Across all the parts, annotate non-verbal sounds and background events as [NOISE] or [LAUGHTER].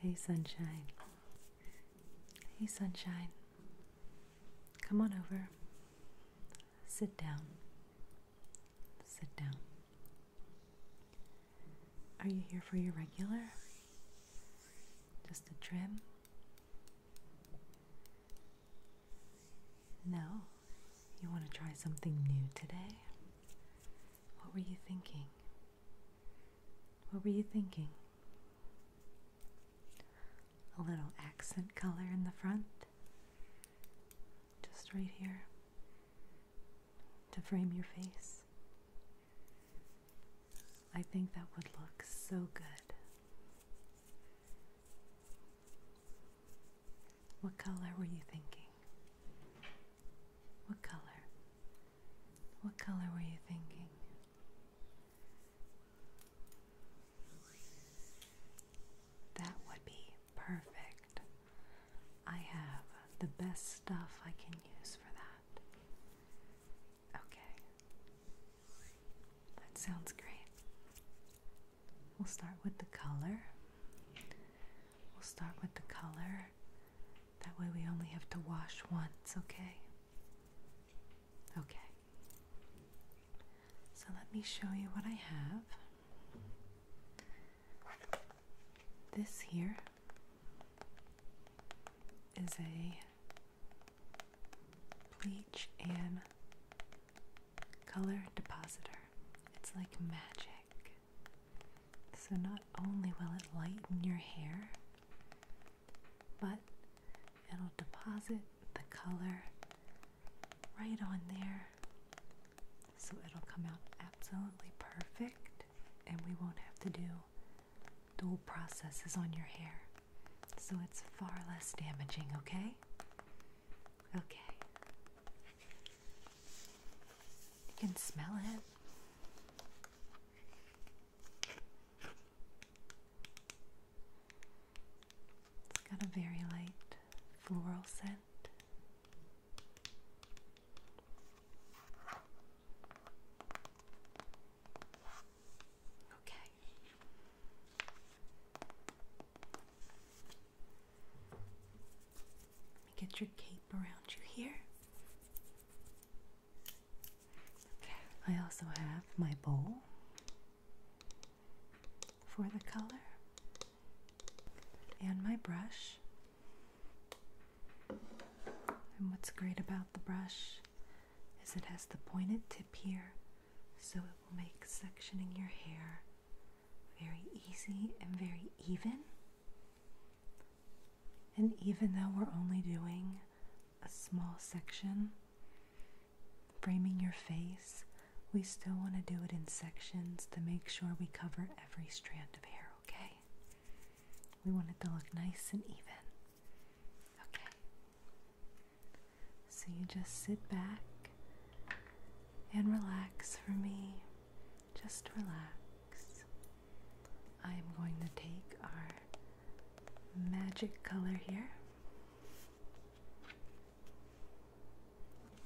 Hey, sunshine. Hey, sunshine. Come on over. Sit down. Sit down. Are you here for your regular? Just a trim? No? You want to try something new today? What were you thinking? What were you thinking? A little accent color in the front? Just right here to frame your face. I think that would look so good. What color were you thinking? What color? What color were you thinking? That would be perfect. I have the best stuff I can use for that. Okay. That sounds great. We'll start with the color. We'll start with the color. That way we only have to wash once, okay? Okay. So let me show you what I have. This here is a bleach and color depositor. It's like magic. So, not only will it lighten your hair, but it'll deposit the color right on there. So, it'll come out absolutely perfect, and we won't have to do dual processes on your hair so it's far less damaging, okay? Okay. You can smell it. It's got a very light floral scent. Okay. Let me get your cape around you here. Okay. I also have my bowl for the color and my brush. And what's great about the brush is it has the pointed tip here so it will make sectioning your hair very easy and very even. And even though we're only doing a small section, framing your face, we still want to do it in sections to make sure we cover every strand of hair, okay? We want it to look nice and even. Okay. So you just sit back and relax for me. Just relax. I am going to take our magic color here.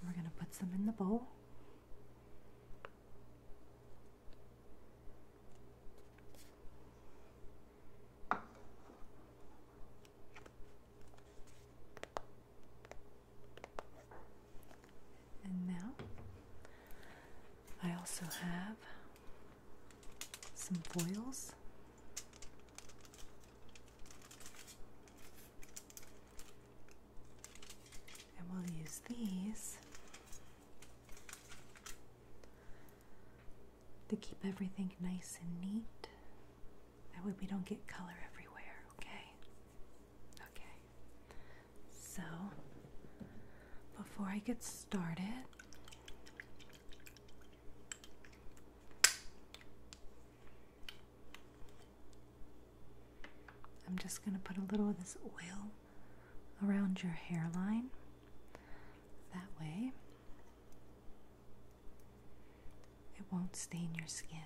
We're going to put some in the bowl. And now I also have some foils. And we'll use these to keep everything nice and neat. That way we don't get color everywhere, okay? Okay. So, before I get started, I'm just going to put a little of this oil around your hairline. That way, it won't stain your skin.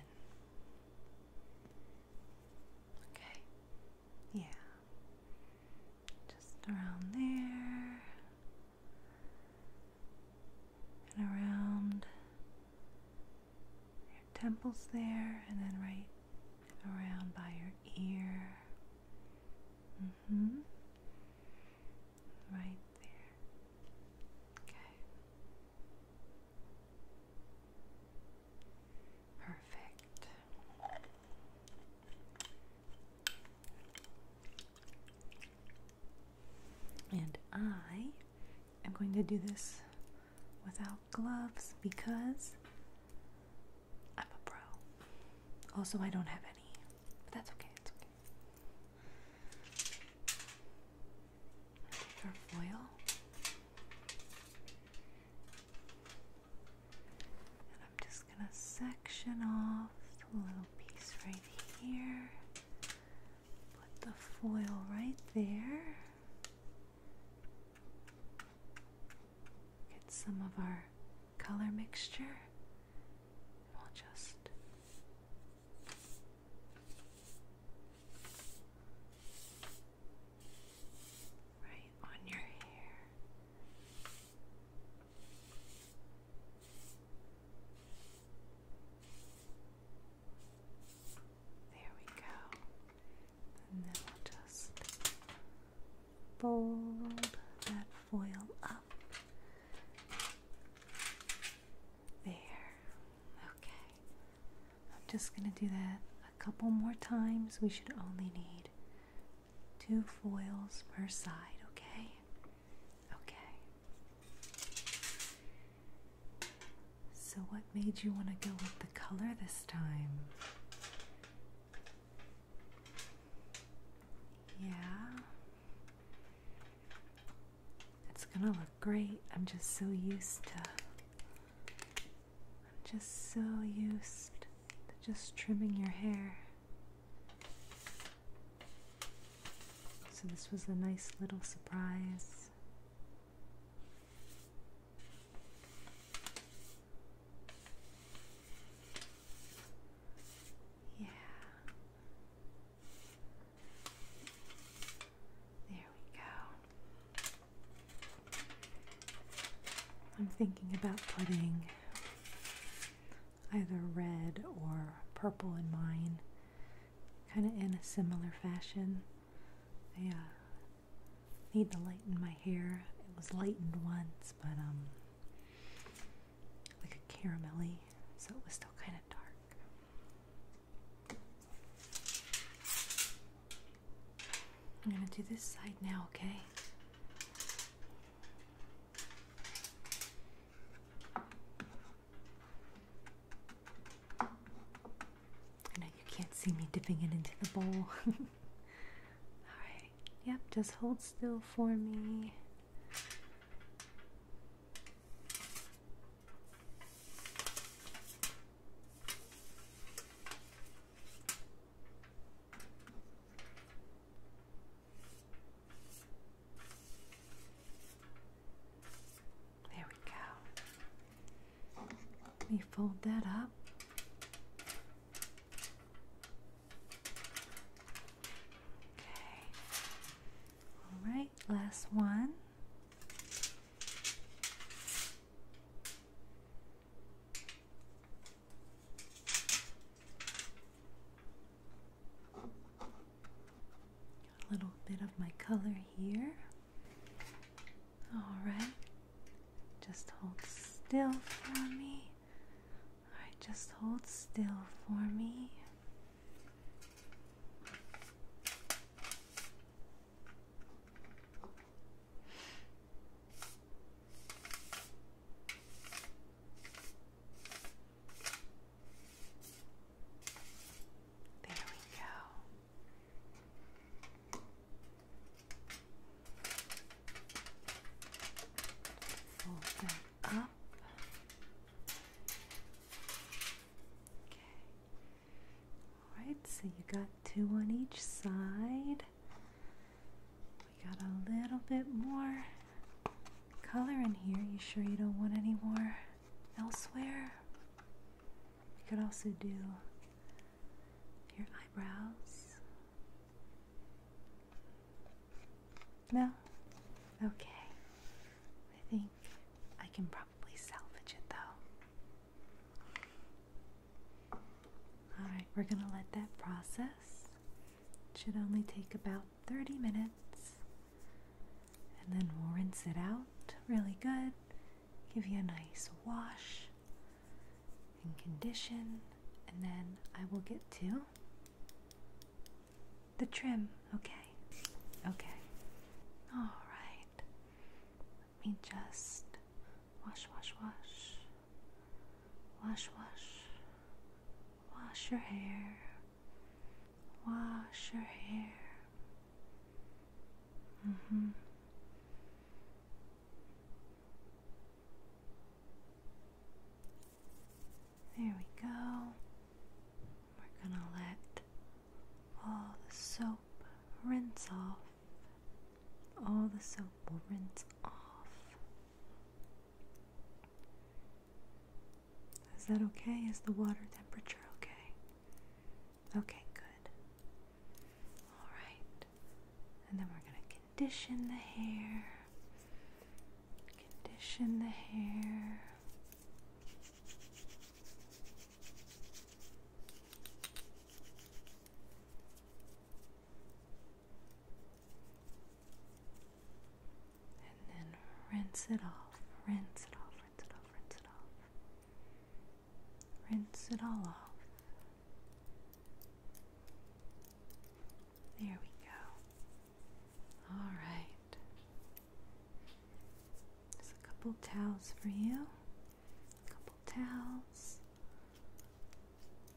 Okay. Yeah. Just around there. And around your temples there, and then right around by your ear. Mm-hmm hmm Right there. Okay. Perfect. And I am going to do this without gloves because I'm a pro. Also, I don't have any, but that's okay. It's okay. our foil and I'm just gonna section off the little piece right here. Put the foil right there. Get some of our color mixture. We'll just right on your hair. There we go. And then we'll just fold that foil up. There. Okay. I'm just going to do that a couple more times. We should only need two foils per side, okay? Okay. So, what made you want to go with the color this time? Yeah. It's gonna look great. I'm just so used to. I'm just so used to just trimming your hair. So, this was a nice little surprise. Yeah. There we go. I'm thinking about putting either red or purple in mine, kind of in a similar fashion. I Need to lighten my hair. It was lightened once, but um, like a caramelly, so it was still kind of dark. I'm gonna do this side now, okay? I you can't see me dipping it into the bowl. [LAUGHS] All right yep, just hold still for me. There we go. Let me fold that up. Okay. All right, last one. a little bit of my color here. Alright. Just hold still for me. Alright, just hold still for me. There we go. Fold that up. Okay. Alright, so you got two on each side. We got a little bit more color in here. You sure you don't want any more elsewhere? We could also do your eyebrows. No? Okay. I think I can probably salvage it though. Alright, we're gonna let that process. It should only take about 30 minutes. And then we'll rinse it out really good, give you a nice wash and condition, and then I will get to the trim, okay? Okay. Alright. Let me just wash, wash, wash. Wash, wash. Wash your hair. Wash your hair. Mm hmm. There we go. We're going to let all the soap rinse off. All the soap will rinse off. Is that okay? Is the water temperature okay? Okay, good. Alright. And then we're going to condition the hair. Condition the hair. And then rinse it off, rinse it off, rinse it off, rinse it off. Rinse it all off. There we go. All right. There's a couple towels for you. A couple towels.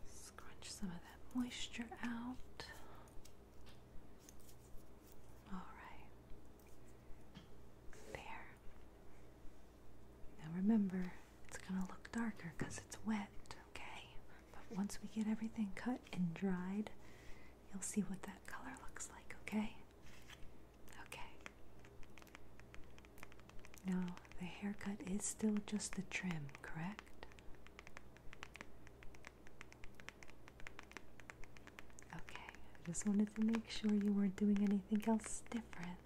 Scrunch some of that moisture out. All right. There. Now remember, it's going to look darker because it's wet, okay? But once we get everything cut and dried, you'll see what that color looks like, okay? Okay. Now, the haircut is still just the trim, correct? Okay, I just want to make sure you weren't doing anything else different.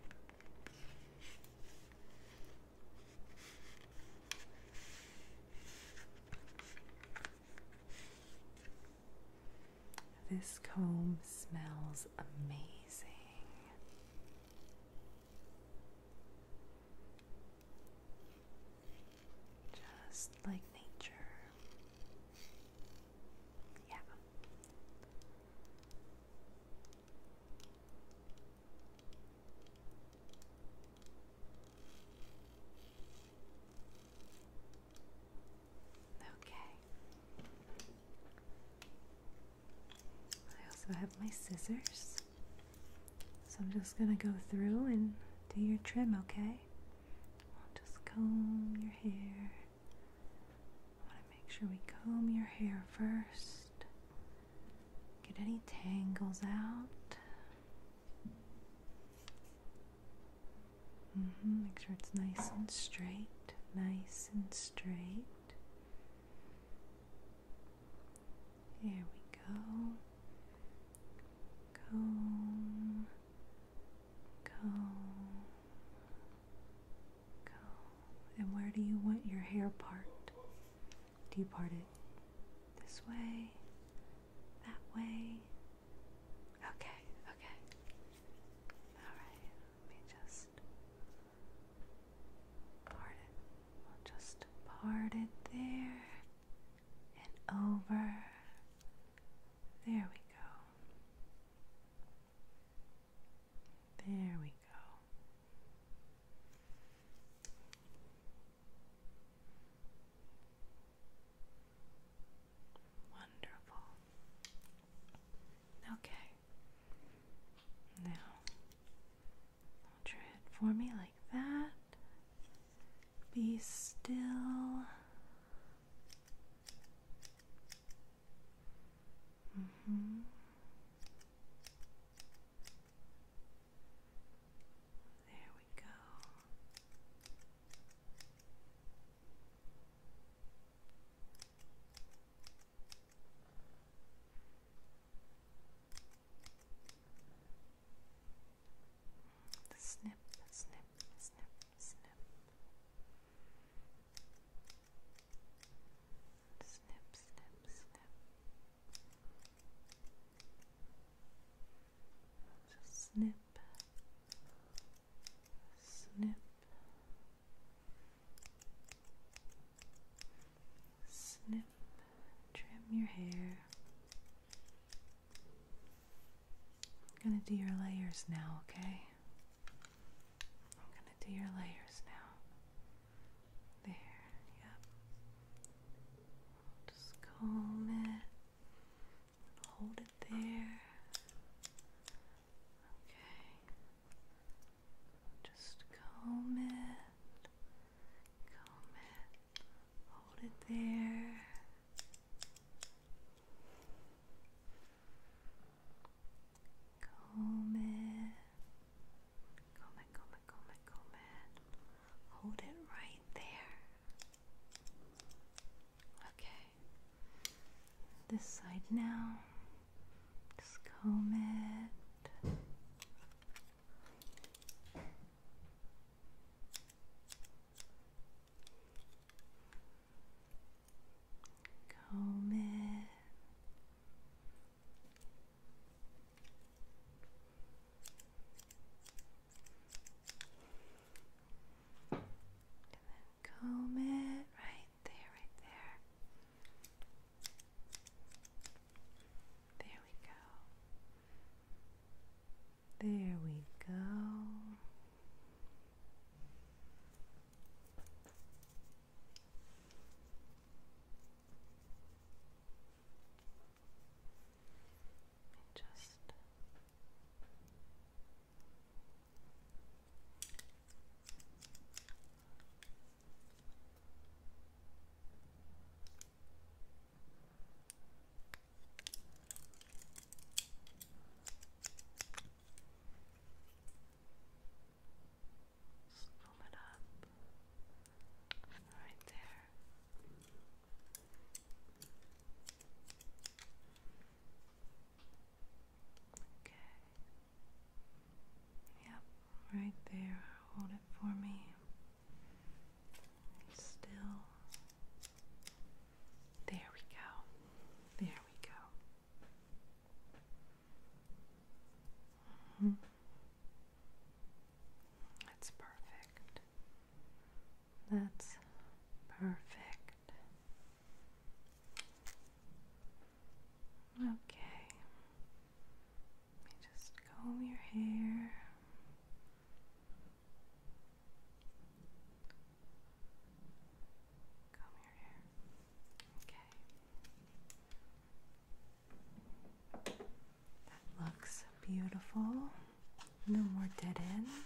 This comb smells amazing. Just like nature. Yeah. Okay. I also have my scissors. So I'm just going to go through and do your trim, okay? I'll just comb your hair. I want to make sure we comb your hair first, get any tangles out. Mm-hmm, make sure it's nice and straight, nice and straight. Here we go. Comb. Comb. Comb. And where do you want your hair part? Do you part it this way? That way? Okay, okay. Alright, let me just part it. We'll just part it there and over. There we go. There we go. Wonderful. Okay. Now, draw it for me like that. Be still. Mm -hmm. There we go. Snip, snip, snip, snip. Snip, snip, snip. Just snip. Snip. Snip. Trim your hair. I'm gonna do your layers now, okay? I'm gonna do your layers now. There, yep. Just comb it. Hold it there. Okay. Just comb it. Comb Hold it there. Comet, comet, comet, comet, Hold it right there. Okay. This side now. Just comet comb it. And then comb it right there, right there. There we go. There we go. Just just pull it up right there. Okay. Yep, right there. Hold it for me. Still there we go. There we go. Mm-hmm. That's perfect. That's perfect. Okay. Let me just comb your hair. Comb your Okay. That looks beautiful. No more dead ends.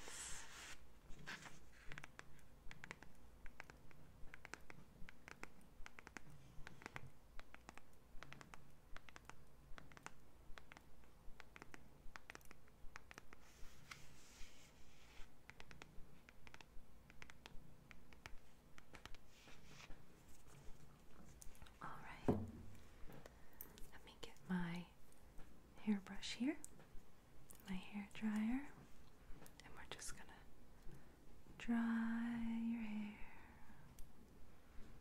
All right, let me get my hairbrush here, my hair dryer, and we're just gonna dry your hair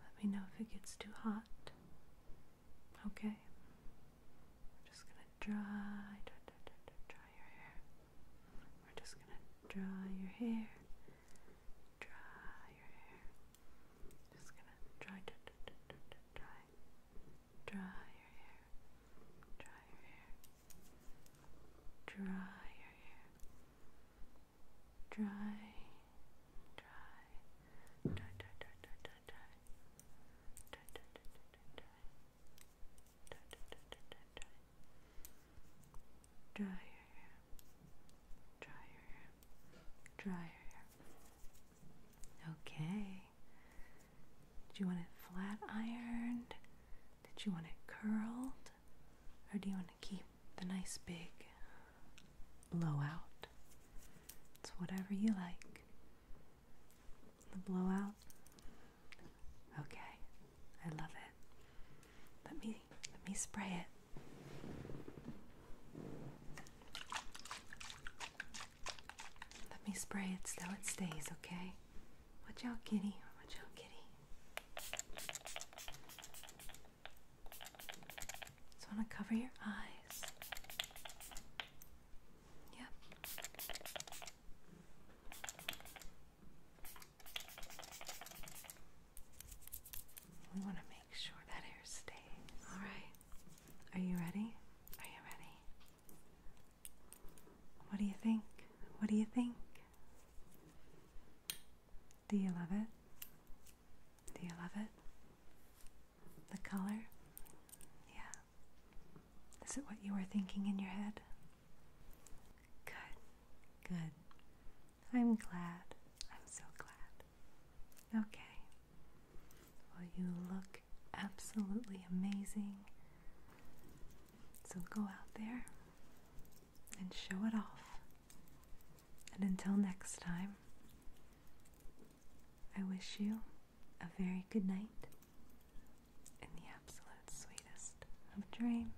Let me know if it gets too hot. Okay. We're just gonna dry, dry, dry, dry, dry your hair. We're just gonna dry your hair. Dry your hair. Just gonna dry, dry, dry, dry your hair. Dry your hair. Dry your hair dry, dry, dry, dry, dry, dry, dry, dry, dry, dry, dry, dry, dry, dry, dry, dry, dry. Dry your hair. Dry your hair. Dry your hair. Okay. Did you want it flat ironed? Did you want it curled? Or do you want to keep the nice big blowout? It's whatever you like. The blowout? Okay. I love it. Let me let me spray it. Let me spray it so it stays, okay? Watch out, kitty. Watch out, kitty. Just want to cover your eyes. Yep. We want to make sure that air stays. All right. Are you ready? Are you ready? What do you think? What do you think? Do you love it? Do you love it? The color? Yeah. Is it what you were thinking in your head? Good, good. I'm glad. I'm so glad. Okay. Well, you look absolutely amazing. So go out there and show it off. And until next time, I wish you a very good night in the absolute sweetest of dreams.